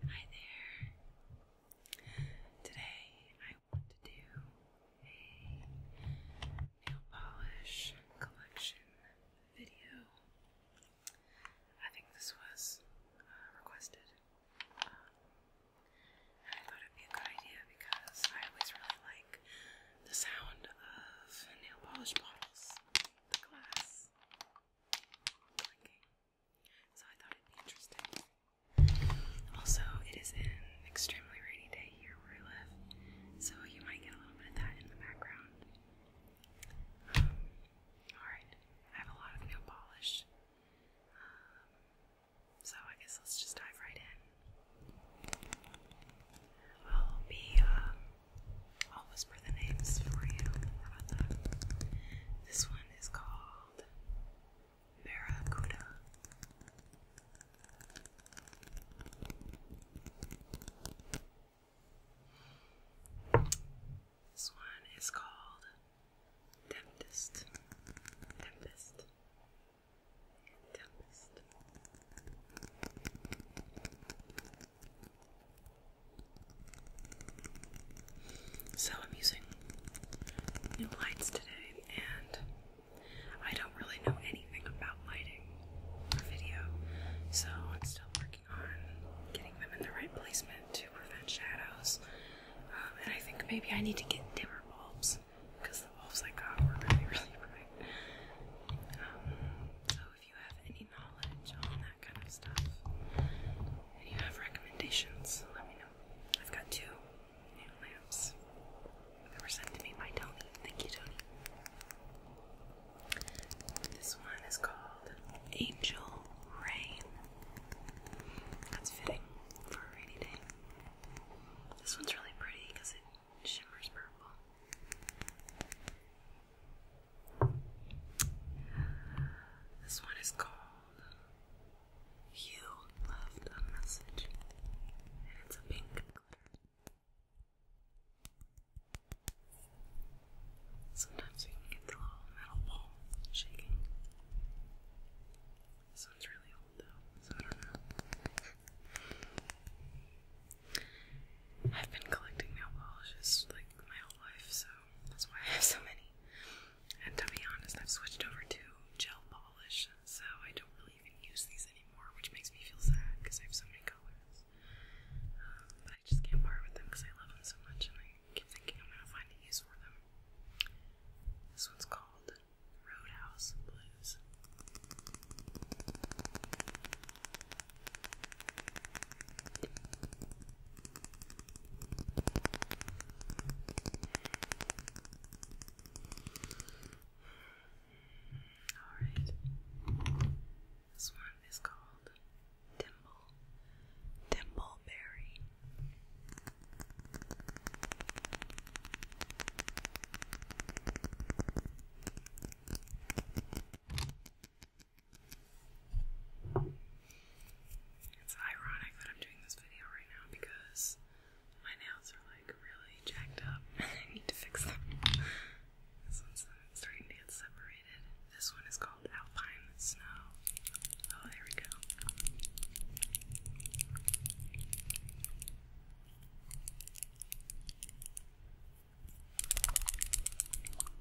Hi there. Today I want to do a nail polish collection video. I think this was uh, requested. Um, and I thought it'd be a good idea because I always really like the sound of nail polish bottles, the glass clinking. So I thought it'd be interesting. Also, it is an extremely rainy day here where I live, so you might get a little bit of that in the background. Um, Alright, I have a lot of nail polish. Um, so I guess let's just dive right in. I'll be, uh, I'll whisper the names for you. This one is called Barracuda. This one is called Tempest. Tempest. Tempest. So I'm using new lights today, and I don't really know anything about lighting or video, so I'm still working on getting them in the right placement to prevent shadows. Um, and I think maybe I need to get dimmer bulbs because the bulbs I got were really, really bright. Um, so if you have any knowledge on that kind of stuff, you have recommendations, let me know. I've got two new lamps that were sent to me by Tony. Thank you, Tony. This one is called Angel Rain. That's fitting for a rainy day. This one's really pretty because it shimmers purple. This one is called You Left a Message, and it's a pink glitter. Sometimes you get the little metal ball shaking. This one's really old though, so I don't know. I've been collecting nail polishes like my whole life, so that's why I have so many. And to be honest, I've switched over to gel polish, so I don't really even use these anymore, which makes me feel sad because I have so many colors. Um, but I just can't part with them because I love them so much, and I keep thinking I'm gonna find a use for them. This one's called Roadhouse Blues. Alright. This one is called Dimble Dimbleberry. It's ironic that I'm doing this video right now because my nails are like really jacked up and I need to fix them. This one's starting to get separated. This one is called Alpine Snow. Oh, there we go.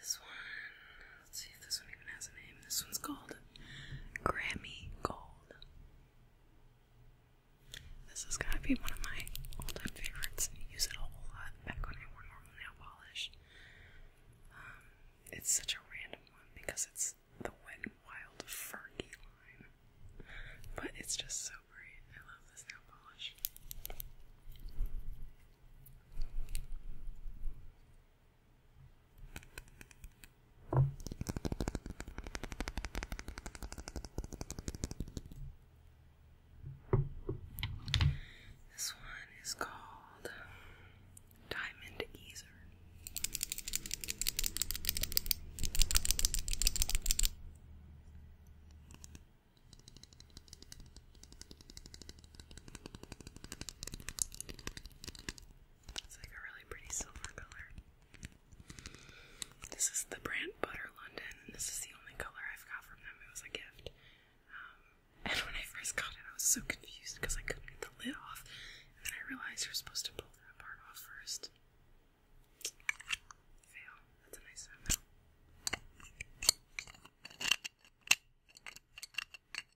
This one, let's see if this one even has a name. This one's called Grammy Gold. This is going to be one of my all-time favorites, and I use it a whole lot back when I wore normal nail polish. Um, it's such a random one because it's the Wet and Wild Fergie line, but it's just so great. I love this nail polish. This one is called Diamond Easer. It's like a really pretty silver color. This is the brand Butter London, and this is the only color I've got from them. It was a gift. Um, and when I first got it, I was so confused because I couldn't get the lid off, and then I realized you're supposed to pull that part off first. Fail. That's a nice one,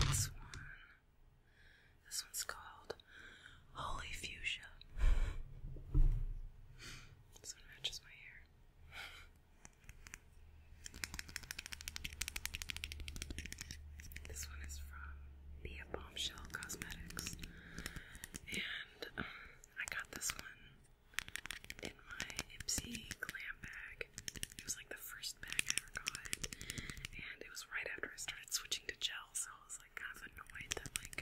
This one. This one's called Holy Fuchsia. This one matches my hair. This one is from Bia Bombshell Cosmetics. And uh, I got this one in my Ipsy glam bag. It was like the first bag I ever got, and it was right after I started switching to gel, so I was like kind of annoyed that like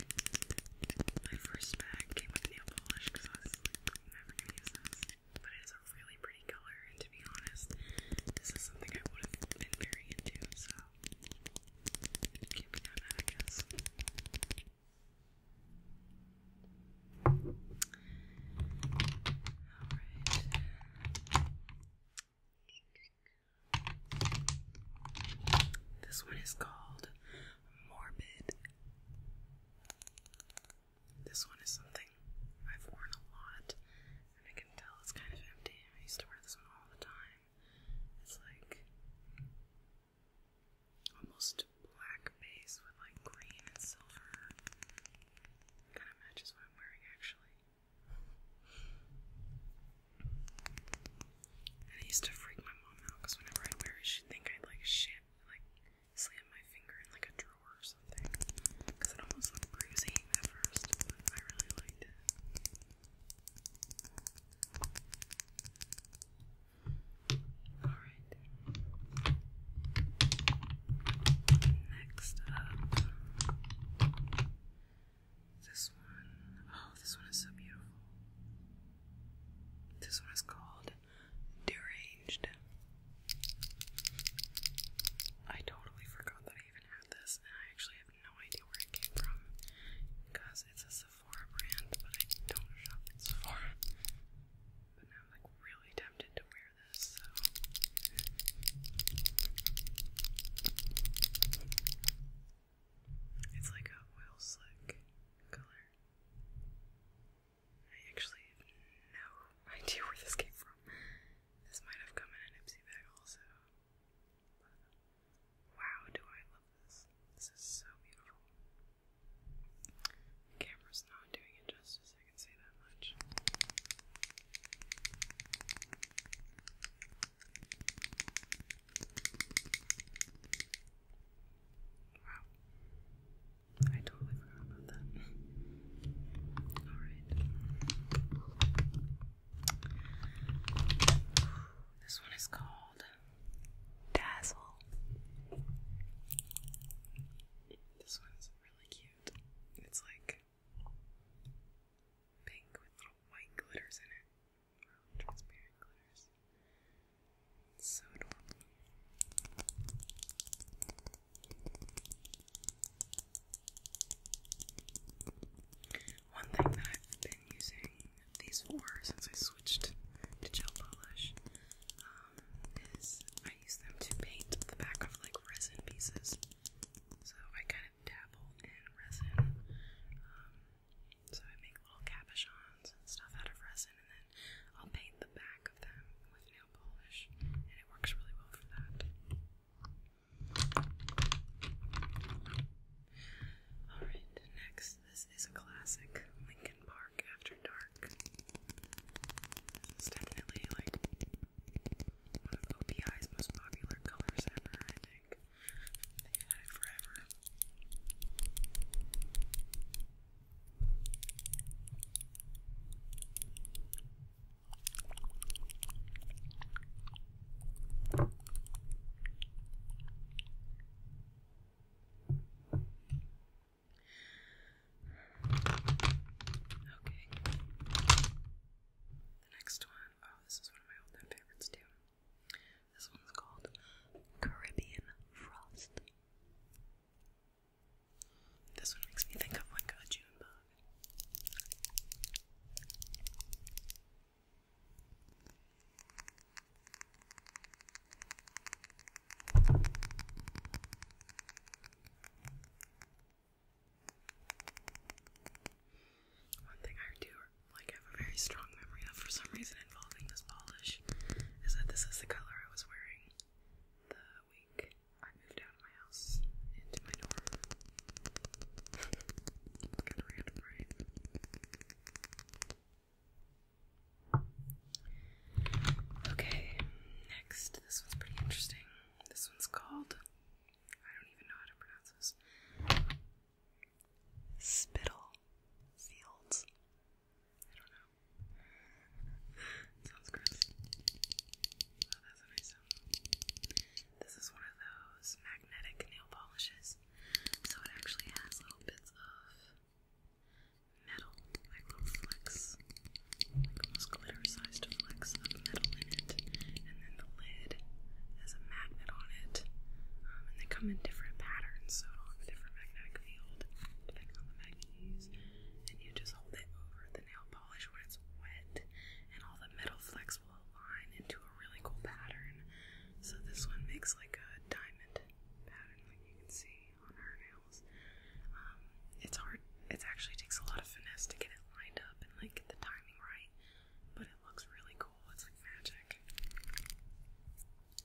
my first bag came with nail polish because I was like never gonna use this. But it is a really pretty color, and to be honest, this is something I would have been very into, so can't that I guess. This one is called Morbid. This one is something I've worn a lot, and I can tell it's kind of empty. I used to wear this one all the time. It's like almost black base with like green and silver Kind of matches what I'm wearing actually. And it used to freak my mom out because whenever I'd wear it, she'd think I'd like shit, like slam my finger in like a drawer or something. Because it almost looked bruising at first, I really liked it. Alright. Next up, this one. Oh, this one is so beautiful. This one is called Deranged. I totally forgot that I even had this, and I actually have no idea where it came from because it's a Sephora brand, but I don't shop at Sephora. But I'm like really tempted to wear this, It's like a oil slick color. I actually have no idea where this came from. This might have come in a Nipsey bag also. wow, do I love this. This is so beautiful. The camera's not doing it justice I can say that much. Wow. I totally forgot about that. Alright. This one is called Dazzle. This one's really cute it's like pink with little white glitters in it. transparent glitters. so adorable. One thing that I've been using these for since I switched to gel polish um, is I use them to paint the back of like resin pieces. So I kind of dabble in resin. Um, so I make little cabochons and stuff out of resin, and then I'll paint the back of them with nail polish, and it works really well for that. Alright, next, this is a classic Lincoln Park After Dark. It's definitely like one of OPI's most popular colors ever, I think. they had it forever. Okay. The next one, oh, this is one of my all favorites too. This one's called Caribbean Frost. This one makes me think of like a June one thing I do like have a very strong memory for some reason involving this polish is that this is the color I was wearing the week I moved out of my house into my dorm. Okay, next. This one's pretty interesting this one's called, I don't even know how to pronounce this, Spittle Fields. I don't know. Sounds gross. Oh, that's a nice sound. This is one of those magnetic nail polishes. So it actually has little bits of metal, like little flecks muscular sized flecks of metal in it, and then the lid has a magnet on it. Um, and they come in different patterns, so it'll have different magnetic field depending on the magnet And you just hold it over the nail polish when it's wet, and all the metal flecks will align into a really cool pattern. So this one makes like a diamond pattern, that you can see on her nail. Um, it's hard. It actually takes a lot of finesse to get it lined up and like get the timing right, but it looks really cool. It's like magic.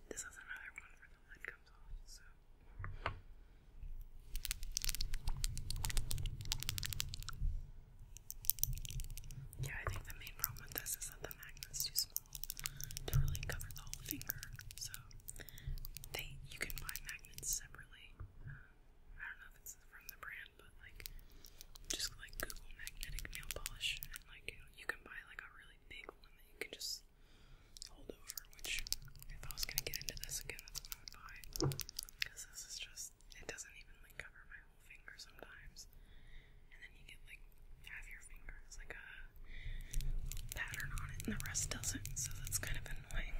This is another one where the lid comes off, so. Yeah, I think the main problem with this is that the magnet's too small to really cover the whole finger. So they you can buy magnets separately. Um, I don't know if it's from the brand, but like just like Google magnetic nail polish, and like you, know, you can buy like a really big one that you can just hold over. Which if I was gonna get into this again, that's what I would buy because this is just it doesn't even like cover my whole finger sometimes, and then you get like half your finger has like a pattern on it, and the rest doesn't. So that's kind of annoying.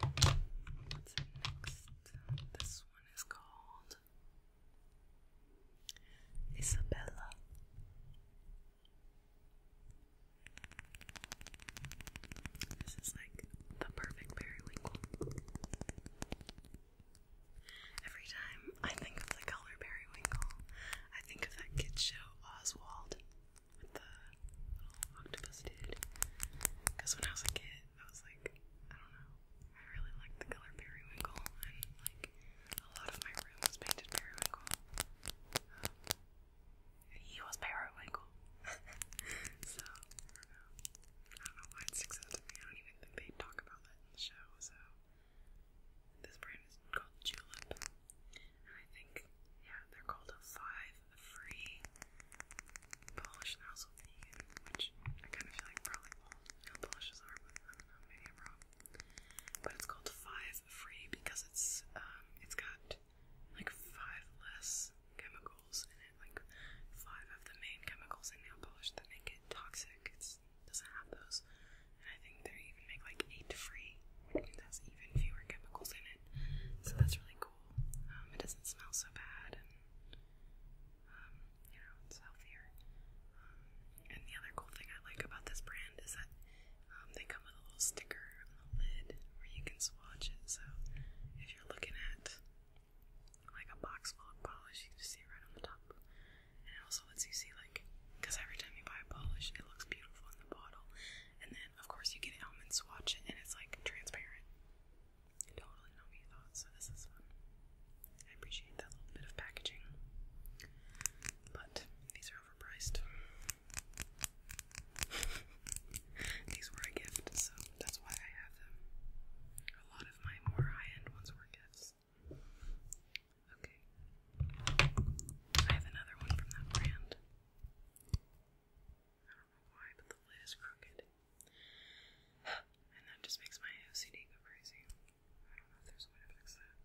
what's next? This one is called Isabella. This is like the perfect periwinkle. Every time I think of the color periwinkle, I think of that kid show Oswald with the little octopus dude. Because when I was a kid, that was I don't know. I really like the color periwinkle, and like a lot of my room painted periwinkle. Um, he was periwinkle, so I don't know. I don't know why it sticks out to me. I don't even think they talk about that in the show. So this brand is called Julep, and I think yeah, they're called a five free polish and also which I kind of feel like probably all nail polishes are, I don't know, maybe I'm wrong. But it's called Five Free because it's um it's got like five less chemicals in it, like five of the main chemicals in nail polish that make it toxic. It's doesn't have those. And I think they even make like eight free, which means that's even fewer chemicals in it. So that's really cool. Um, it doesn't smell so bad um, you know, it's healthier. Um, and the other cool thing I like about this brand is that um, they come with a little sticker on the lid where you can swatch it. So if you're looking at like a box full of polish, you can just see it right on the top. And it also lets you see like, because every time you buy a polish, it looks beautiful in the bottle. And then, of course, you get it home and swatch it, and it's like transparent. Totally not what you thought, so this is fun. I appreciate that little bit of packaging. But these are overpriced. these were a gift, so that's why I have them. A lot of my more high-end ones were gifts. Okay. I have another one from that brand. I don't know why, but the lid is crooked. And that just makes my OCD go crazy. I don't know if there's a way to fix that.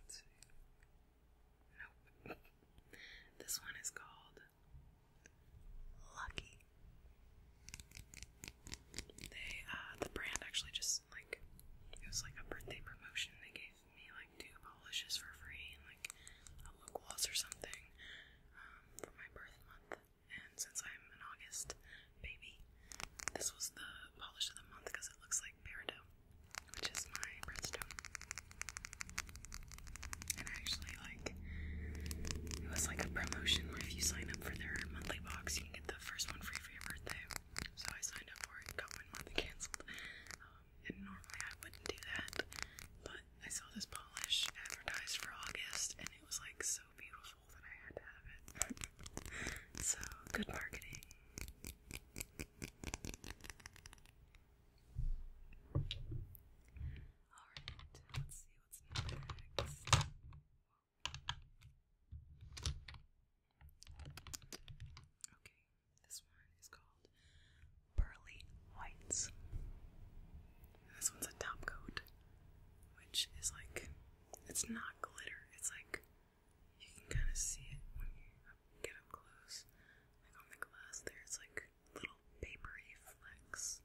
Let's see. Nope. This one is called Lucky. They, uh, the brand actually just, like, it was like a birthday promotion. They gave me, like, two polishes for free and, like, a lip gloss or something um, for my birth month, and since I'm an August baby, this was the polish of the month because it looks like peridot, which is my birthstone. And actually, like, it was like a promotion where if you sign up for their monthly box, you can get the first one free for your birthday. So I signed up for it, got one month and cancelled normally I wouldn't do that, but I saw this polish advertised for August, and it was like so beautiful that I had to have it. so good marketing. Alright, let's see what's next. Okay, this one is called Pearly whites. This one's a top coat, which is like, it's not glitter, it's like, you can kind of see it when you get up close. Like on the glass there, it's like little papery flecks.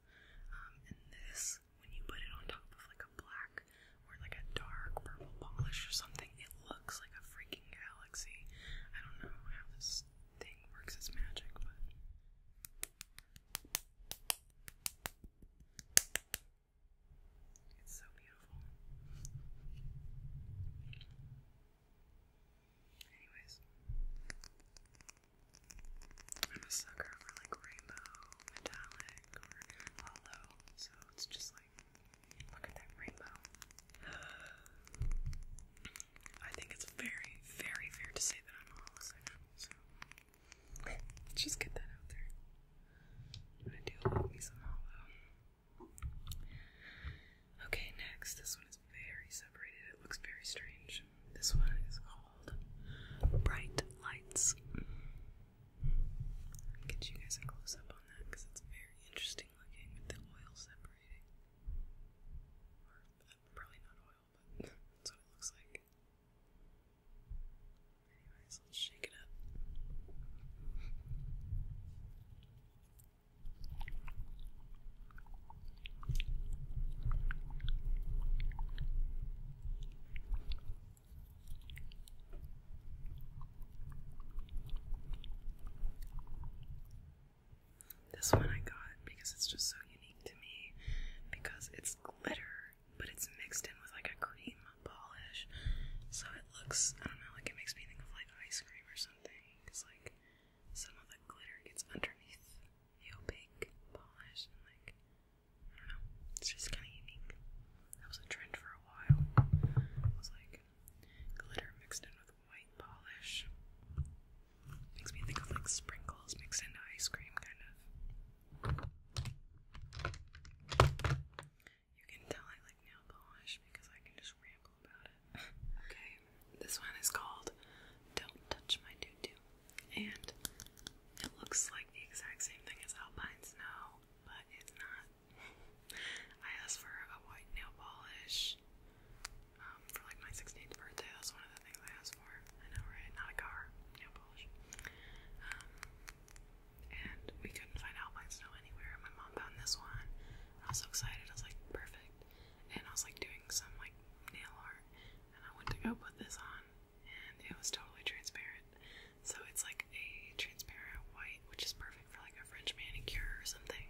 Um, and this, when you put it on top of like a black or like a dark purple polish or something, it looks like a freaking galaxy. I don't know how this thing works as magic, but it's so beautiful. Anyways, I'm a sucker for like rainbow, metallic, or hollow, so it's just like, look at that rainbow. I think it's very, very fair to say that I'm a homosexual, so just get that out there. I do love me some hollow. Okay, next. This one is very separated. It looks very strange. This one is called Bright Lights. get you guys a close up on that because it's very interesting looking with the oil separating. Or, uh, probably not oil that's what it looks like. Anyways, let's shake it up. This one I got because it's just so unique to me because it's glitter, but it's mixed in with like a cream polish. So it looks, I don't know, like it makes me think of like ice cream or something because like some of the glitter gets underneath the opaque polish and like, I don't know, it's just kind of unique. That was a trend for a while. It was like glitter mixed in with white polish. Makes me think of like sprinkles mixed into ice cream, kind of. You can tell I like nail polish because I can just ramble about it. okay, this one is called Don't Touch My Doo And it looks like the exact same thing as Alpine Snow, but it's not. I asked for a white nail polish um, for like my 16th birthday. That's one of the things I asked for. I know, right? Not a car, nail polish. Um, and we couldn't find alpine snow anywhere. And my mom found this one. I was so excited. I was like, perfect. And I was like doing some like nail art, and I went to go put this on, and it was totally transparent. So it's like a transparent white, which is perfect for like a French manicure or something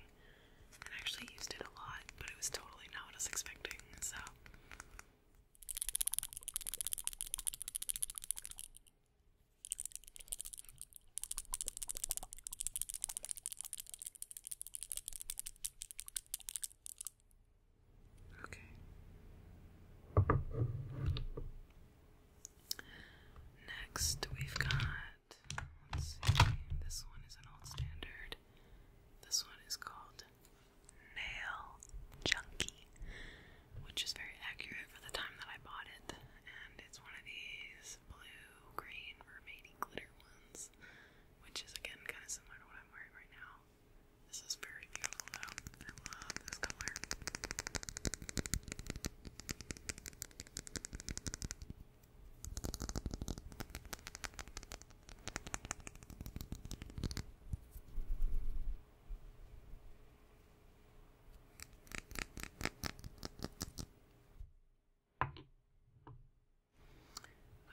and I actually used it a lot, but it was totally not what I was expecting, so. Okay. Next, we've got. This one is an old standard. This one is called Nail Junkie, which is very accurate for the time that I bought it. And it's one of these blue, green, mermaidy glitter ones, which is again kind of similar to what I'm wearing right now. This is very beautiful though. I love this color.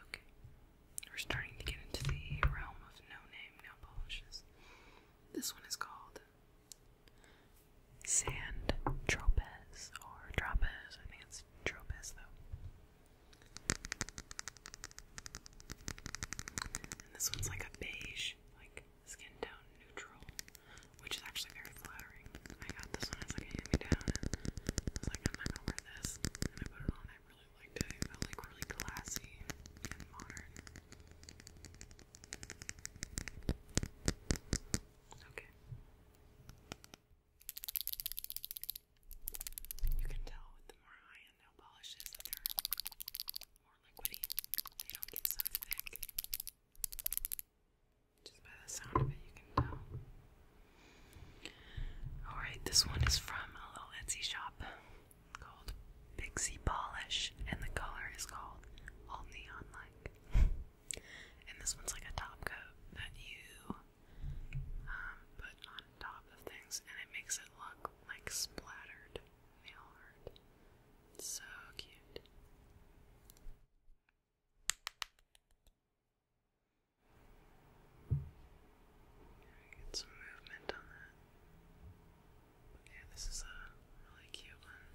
Okay, we're starting to get into the realm of no name nail polishes. This one is called Sand Tropez or Trapez, I think it's this though. And this one's like a beige, like skin tone neutral, which is actually very flattering. I got this one It's like a hand me down, and I was like, I'm not gonna wear this. And I put it on, I really liked it. It felt like really classy and modern. Okay. You can tell with the more high-end nail polishes they're more liquidy. They don't get so thick. Just by the sound of it, you can tell. Alright, this one is from a little Etsy shop called Pixie Polish, and the color is called All Neon Like. and this one's like a top coat that you um, put on top of things, and it makes it look like splattered nail art. so cute. some movement on that. yeah, this is a really cute one.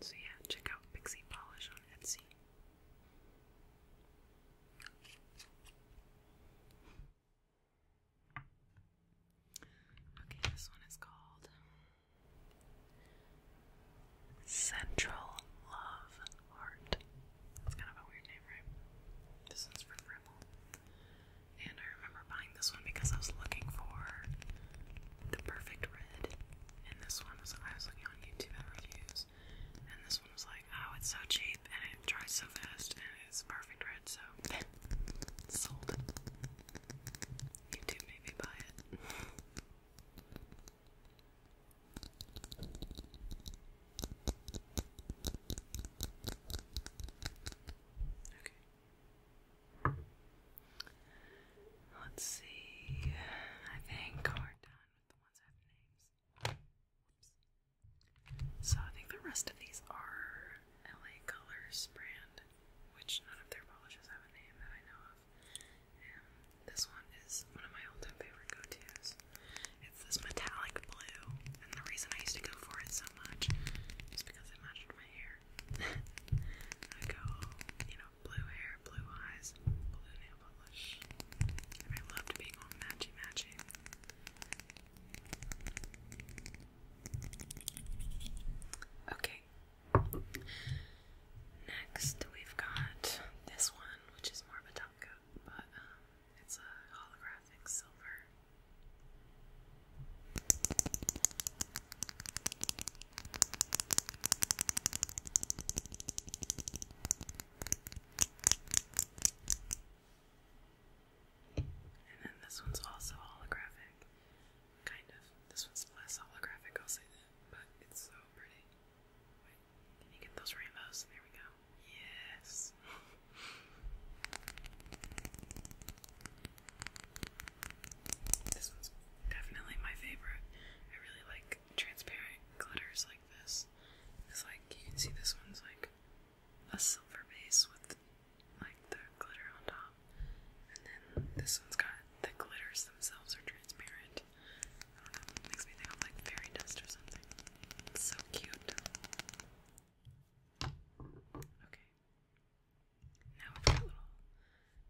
So yeah, check out Pixie Polish on Etsy. Okay, this one is called Central Love Heart. That's kind of a weird name, right? This one's from Rimmel. And I remember buying this one because I was looking for the perfect red. And this one was I was looking on YouTube at reviews and this one was like, oh, it's so cheap and it dries so fast and it's perfect red, so sold. You too, maybe buy it. Okay. Let's see. I think we're done so I think the rest of these are LA Colors brand, which none of their polishes have a name that I know of. And this one is one of my all-time favorite go-tos. It's this metallic blue, and the reason I used to go for it so much is because it matched my hair. I go, you know, blue hair, blue eyes, blue nail polish. I loved being all matchy matchy. Okay. Next, we've got this one, which is more of a top coat, but um, it's a holographic silver. And then this one's also holographic. Kind of. This one's less holographic, I'll say that. But it's so pretty. can you get those rainbows? There we go. Yes! This one's definitely my favorite. I really like transparent glitters like this It's like you can see this one's like a silver base with like the glitter on top, and then this one's got the glitters themselves are transparent. Um, makes me think of like fairy dust or something. so cute. Okay. Now we got little.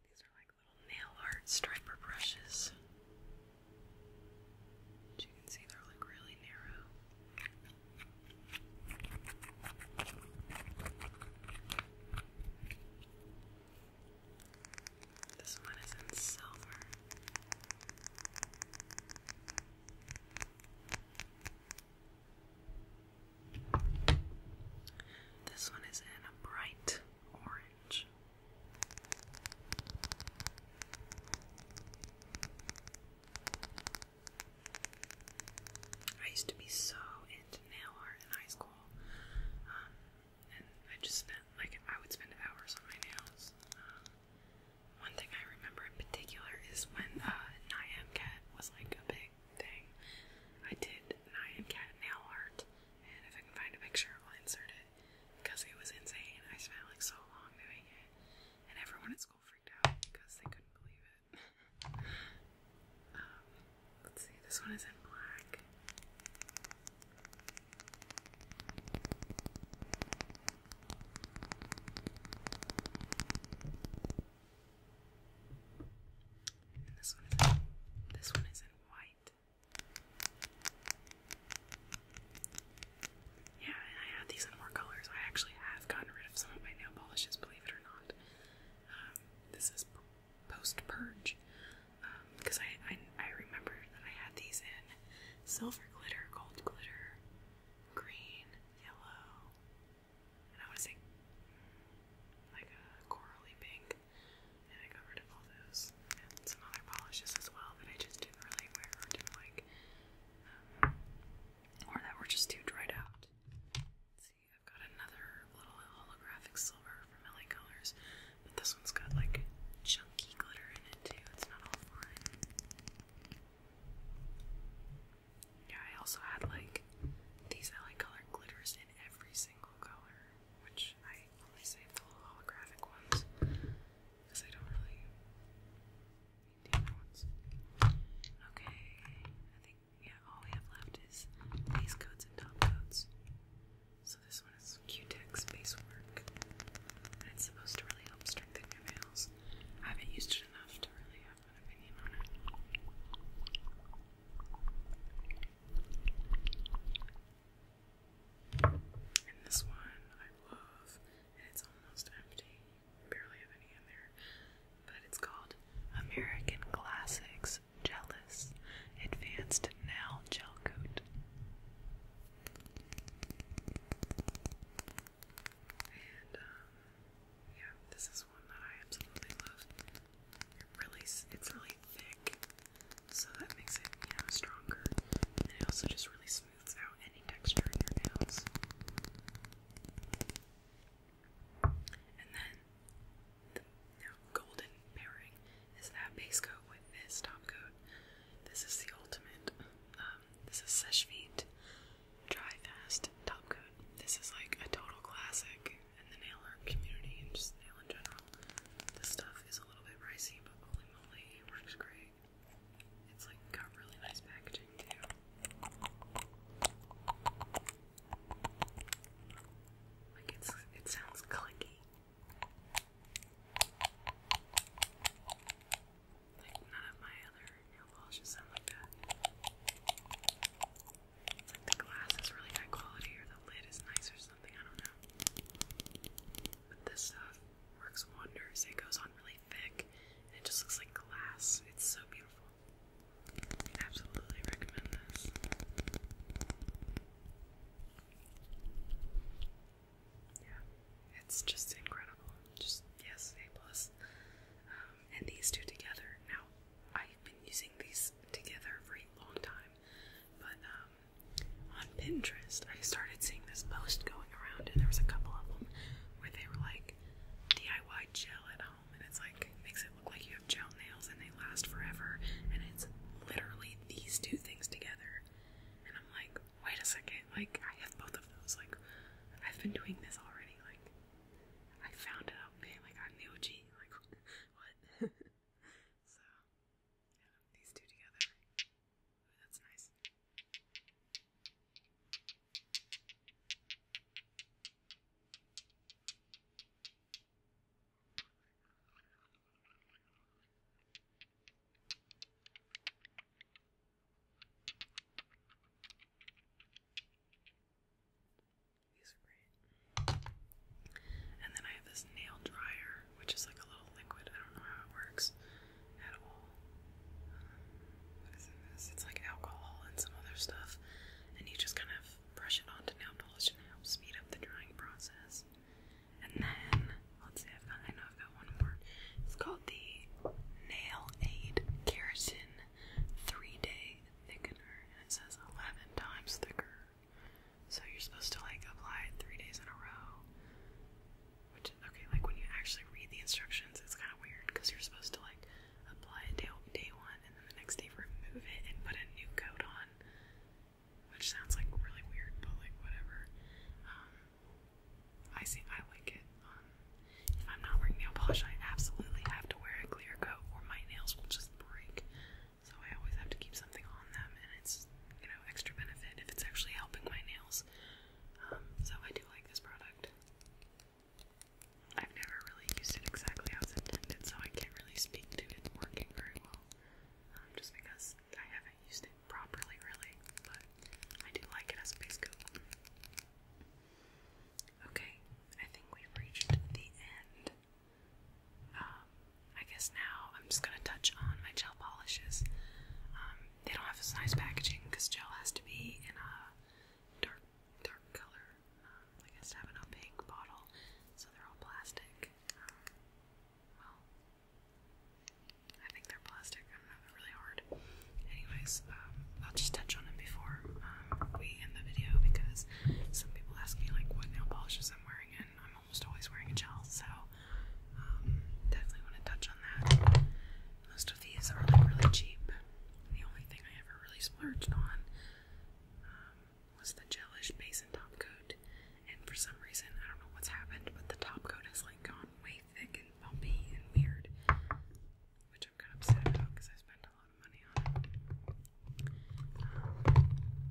These are like little nail art striper brushes. As you can see, they're like really narrow. This one is in silver. This one is in a bright orange. I used to be so into nail art in high school, um, and I just spent like I would spend hours on my nails. Um, one thing I remember in particular is when uh, Cat was like a big thing. I did Niam Cat nail art, and if I can find a picture, I'll insert because it was insane. I spent like so long doing it, and everyone at school freaked out because they couldn't believe it. Um, let's see, this one is in black. this one is this one is in white. Yeah, and I have these in more colors. I actually have gotten rid of some of my nail polishes, believe it or not. Um, this is post purge because um, I, I remember that I had these in silver glitter, gold glitter, green, yellow, and I want say like a corally pink. And I got rid of all those and some other polishes as well that I just didn't really wear or didn't like. Um, or that were just too dried out. see, I've got another little holographic silver from LA Colors, but this one's got like chunky glitter in it too. It's not all fine. Yeah, I also had like these LA Color glitters in every single color which I only save the holographic ones because I don't really need the ones. Okay, I think, yeah, all we have left is base coats and top coats. So this one is Q-Tex base work. And it's supposed to really help strengthen your nails. I haven't used it enough to really have an opinion on it. And this one I love, and it's almost empty. Barely have any in there. But it's called American Classics Jealous Advanced Now Gel Coat. And, um, yeah, this is one that I absolutely love. It really, it's really thick so that makes it, you stronger. And it also just really smooths out any texture in your nails. And then the golden pairing is that base coat with this top coat. This is the ultimate. Um, this is Sesh Dry Fast Top Coat. This is like a total classic in the nail art community and just nail in general. This stuff is a little bit pricey, but holy moly, it works great. It's like got really nice packaging too. Like it's it sounds clicky. Like none of my other nail polishes sound like that. It's like the glass is really high quality or the lid is nice or something, I don't know this stuff works wonders. It goes on really thick and it just looks like glass. It's so beautiful. absolutely recommend this. Yeah, it's just incredible. Just yes, A plus. Um, and these two together. Now, I've been using these together for a long time. But um, on Pinterest, I started seeing this post going around, and there was a couple of them where they were like DIY gel at home, and it's like makes it look like you have gel nails and they last forever, and it's literally these two things together. And I'm like, wait a second, like I have both of those. Like I've been doing this already. Like I found it out, man. Like I'm the OG. Like what? so these two together that's nice. These are great. And then I have this nail dryer which is like a little liquid. I don't know how it works at all. Um, what is this? It's like alcohol and some other stuff, and you just kind of brush it onto nail polish and it speed up the drying process. And then let's see, I know I've got one more. It's called the Nail Aid Keratin Three Day Thickener, and it says eleven times thicker so you're supposed to like apply it three days in a row. Which okay, like when you actually read the instructions, it's kind of weird because you're supposed to like apply it day day one, and then the next day remove it and put a new coat on, which sounds like really weird, but like whatever. Um, I see, I like it. Um, if I'm not wearing nail polish, I absolutely have to wear a clear coat, or my nails will just break. So I always have to keep something on them, and it's you know extra benefit if it's actually helping my nails. Um, so I do like this product. I've never really used it exactly how intended, so I can't really speak to it working very well. Um, just because I haven't used it properly, really, but I do like it as a base coat. Okay, I think we've reached the end. Um, I guess now I'm just gonna touch on my gel polishes. Um, they don't have this nice packaging because gel has to be in a dark, dark color. Um, I guess have an opaque bottle, so they're all plastic. Um, well, I think they're plastic. I don't really hard. Anyways, I'll just touch on them before we end the video because some people ask me like what nail polishes I'm wearing, and I'm almost always wearing a gel, so um, definitely want to touch on that. Most of these are like really cheap. The only thing I ever really splurged on um, was the gelish base and top coat, and for some reason I don't know what's happened, but the top coat has like gone way thick and bumpy and weird, which I'm kind of upset about because I spent a lot of money on it. Um,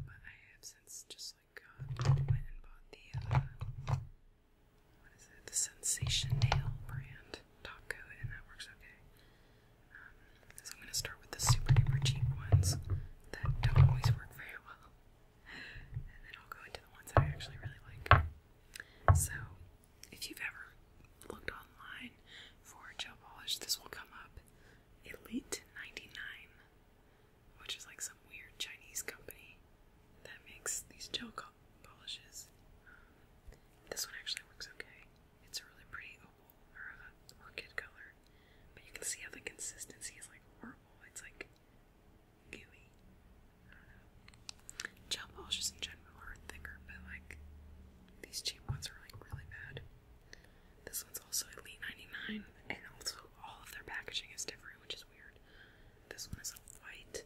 but I have since just like went and bought the, what is it, the Sensation Nail brand top coat, and that works okay. Um, so I'm gonna start with the super duper cheap ones that don't always work very well. And then I'll go into the ones I actually really like. So, if you've ever looked online for gel polish, this will come up. Elite 99 which is like some weird Chinese company that makes these gel polishes. this one actually works okay. It's a really pretty opal or a orchid color, but you can see how the consistency is like horrible. It's like gooey. I don't know. Gel polishes in general are thicker, but like these cheap ones are like really bad. This one's also Elite 99, and also all of their packaging is different, which is weird. This one is a white,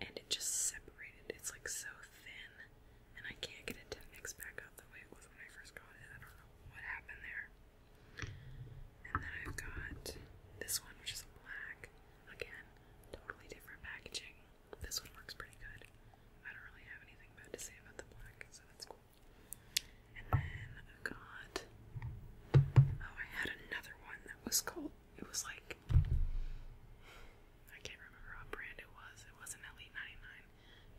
and it just separated. It's like so thin, and I can't get it to mix back up the way it was when I first got it. I don't know what happened there. And then I've got this one, which is a black. Again, totally different packaging. This one works pretty good. I don't really have anything bad to say about the black, so that's cool. And then I oh, got oh I had another one that was called it was like I can't remember what brand it was. It wasn't Elite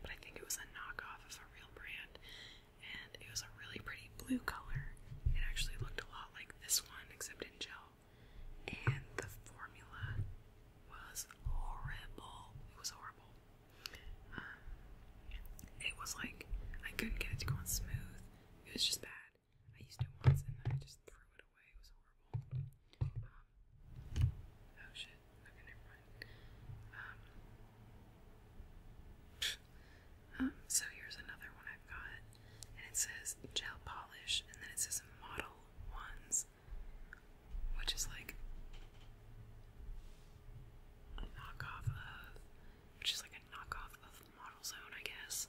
99, but I think it was a knockoff of a real brand. And it was a really pretty blue color. It actually looked a lot like this one except in gel. And the formula was horrible. It was horrible. Um, it was like I couldn't get it to go on smooth. It was just bad. I used it once and then I just threw it away. It was horrible. Um, oh shit. Okay, never mind. Um, um, so here's another one I've got. And it says gel polish, and then it says model ones, which is like a knockoff of, which is like a knockoff of model zone, I guess.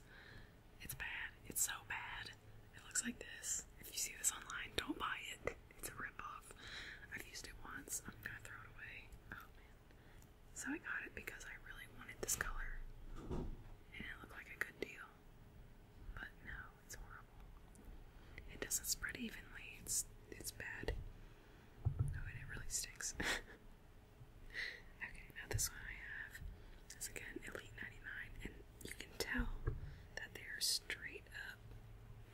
It's bad. It's so bad. It looks like this. If you see this online, don't buy it. It's a ripoff. I've used it once. I'm gonna throw it away. Oh man. So I got it because I really wanted this color. And it looked like a good deal. But no, it's horrible. It doesn't spread evenly. It's it's bad. Oh, and it really stinks. Okay, now this one I have is again Elite 99, and you can tell that they're straight up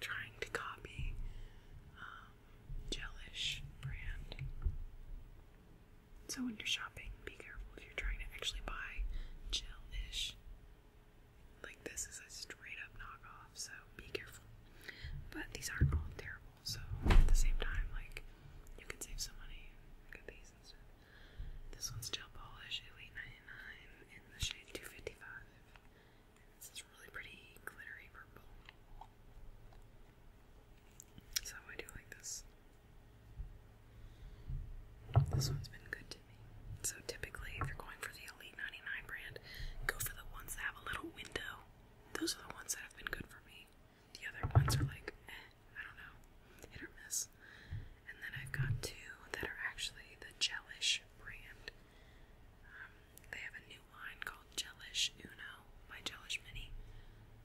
trying to copy um, brand. So when you're shopping, be careful if you're trying to actually buy Jellish. Like this is a straight up knockoff, so be careful. But these aren't all terrible. So at the same time, like you can save some money. Look at these and This one's gel polish, Elite 99, in the shade 255. And it's really pretty glittery purple. So I do like this. This one's been good to me. So typically, if you're going for the Elite 99 brand, go for the ones that have a little window. Those are the ones that have been good for me. The other ones are like, eh, I don't know, hit or miss. And then I've got two that are actually the Gelish brand. Um, they have a new line called Gelish Uno by Gelish Mini.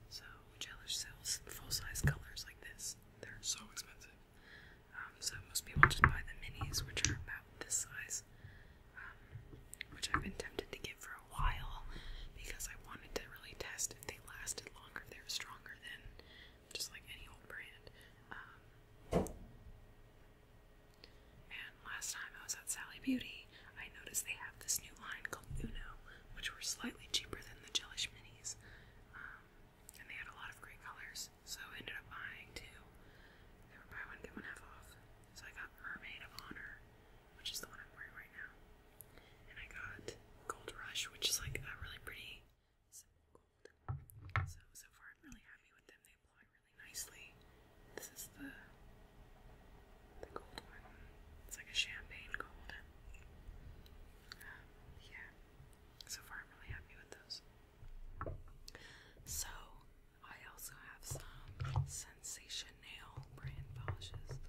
So Gelish sells full-size colors like this. They're so expensive. Um, so most people just buy the minis, which are about this size. Um, which I've been tempted to get for a while because I wanted to really test if they lasted longer, if they were stronger than just like any old brand. Um, and last time I was at Sally Beauty, I noticed they have this new line called Uno, which were slightly cheaper than the Jellish Minis. Um, and they had a lot of great colors, so I ended up buying two. They were buy one, get one half off. So I got Mermaid of Honor, which is the one I'm wearing right now. And I got Gold Rush, which is like a really pretty simple gold. So, so far I'm really happy with them. They apply really nicely. This is the, the gold one. It's like a champagne gold. yeah. So far I'm really happy with those. So, I also have some Sensation Nail brand polishes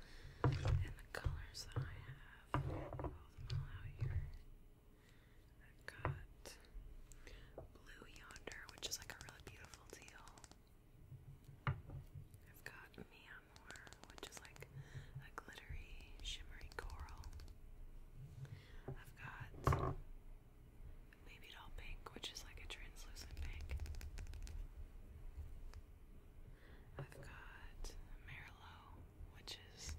and the colors that I have. i have got Blue Yonder, which is like a really beautiful teal. I've got Miamor, which is like a glittery, shimmery coral. I've got Baby Pink, which is like a translucent pink. I've got Merlot, which is,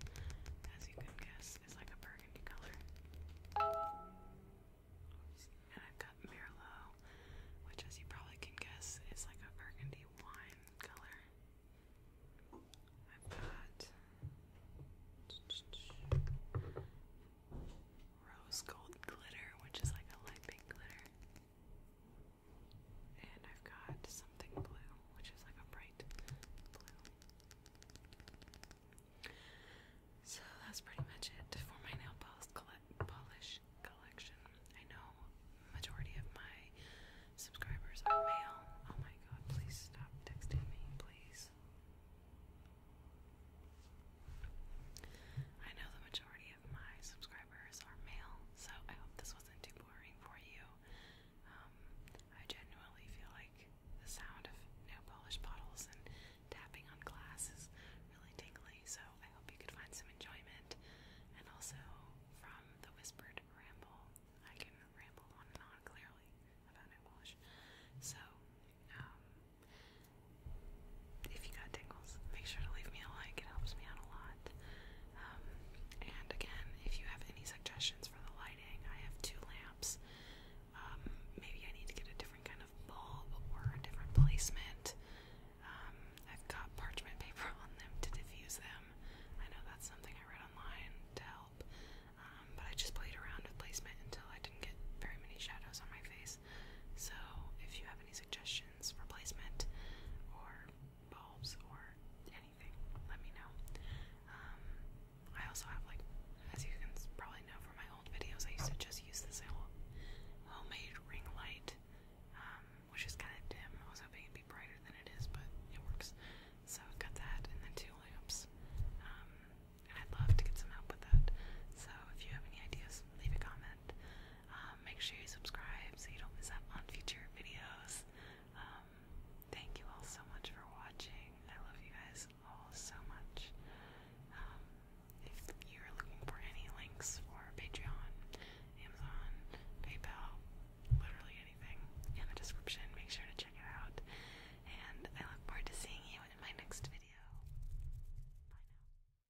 as you can guess, is like a burgundy color. I've got Merlot, which, as you probably can guess, is like a burgundy wine color. I've got rose gold glitter, which is like a light pink glitter. And I've got something blue, which is like a bright blue. So that's pretty much it for my nail polish collection. I know majority of my subscribers are male. Oh my god, please stop texting me, please. I know the majority of my subscribers are male, so I hope this wasn't too boring for you. Um, I genuinely feel like the sound of nail polish bottles and tapping on glass is really tingly, so I hope you could find some enjoyment. And also, from the whispered ramble, I can ramble on and clearly about nail polish. So, um, if you got tingles, make sure to leave me a like. It helps me out a lot. Um, and again, if you have any suggestions for the lighting, I have two lamps. Um, maybe I need to get a different kind of bulb or a different placement. Um, I've got parchment paper on them to diffuse them. I know that's something I read online to help. but I just played around with placement until I didn't get very many shadows on my face. So if you have any suggestions, replacement, or bulbs, or anything, let me know. Um, I also have, like, as you can probably know from my old videos, I used to just use this little homemade ring light, um, which is kind of dim. I was hoping it'd be brighter than it is, but it works. So I've got that, and then two lamps. Um, I'd love to get some help with that. So if you have any ideas, leave a comment. Um, make sure you subscribe so you don't miss out on future videos. Um, thank you all so much for watching. I love you guys all so much. Um, if you're looking for any links for Patreon, Amazon, PayPal, literally anything in the description, make sure to check it out. And I look forward to seeing you in my next video. Bye now.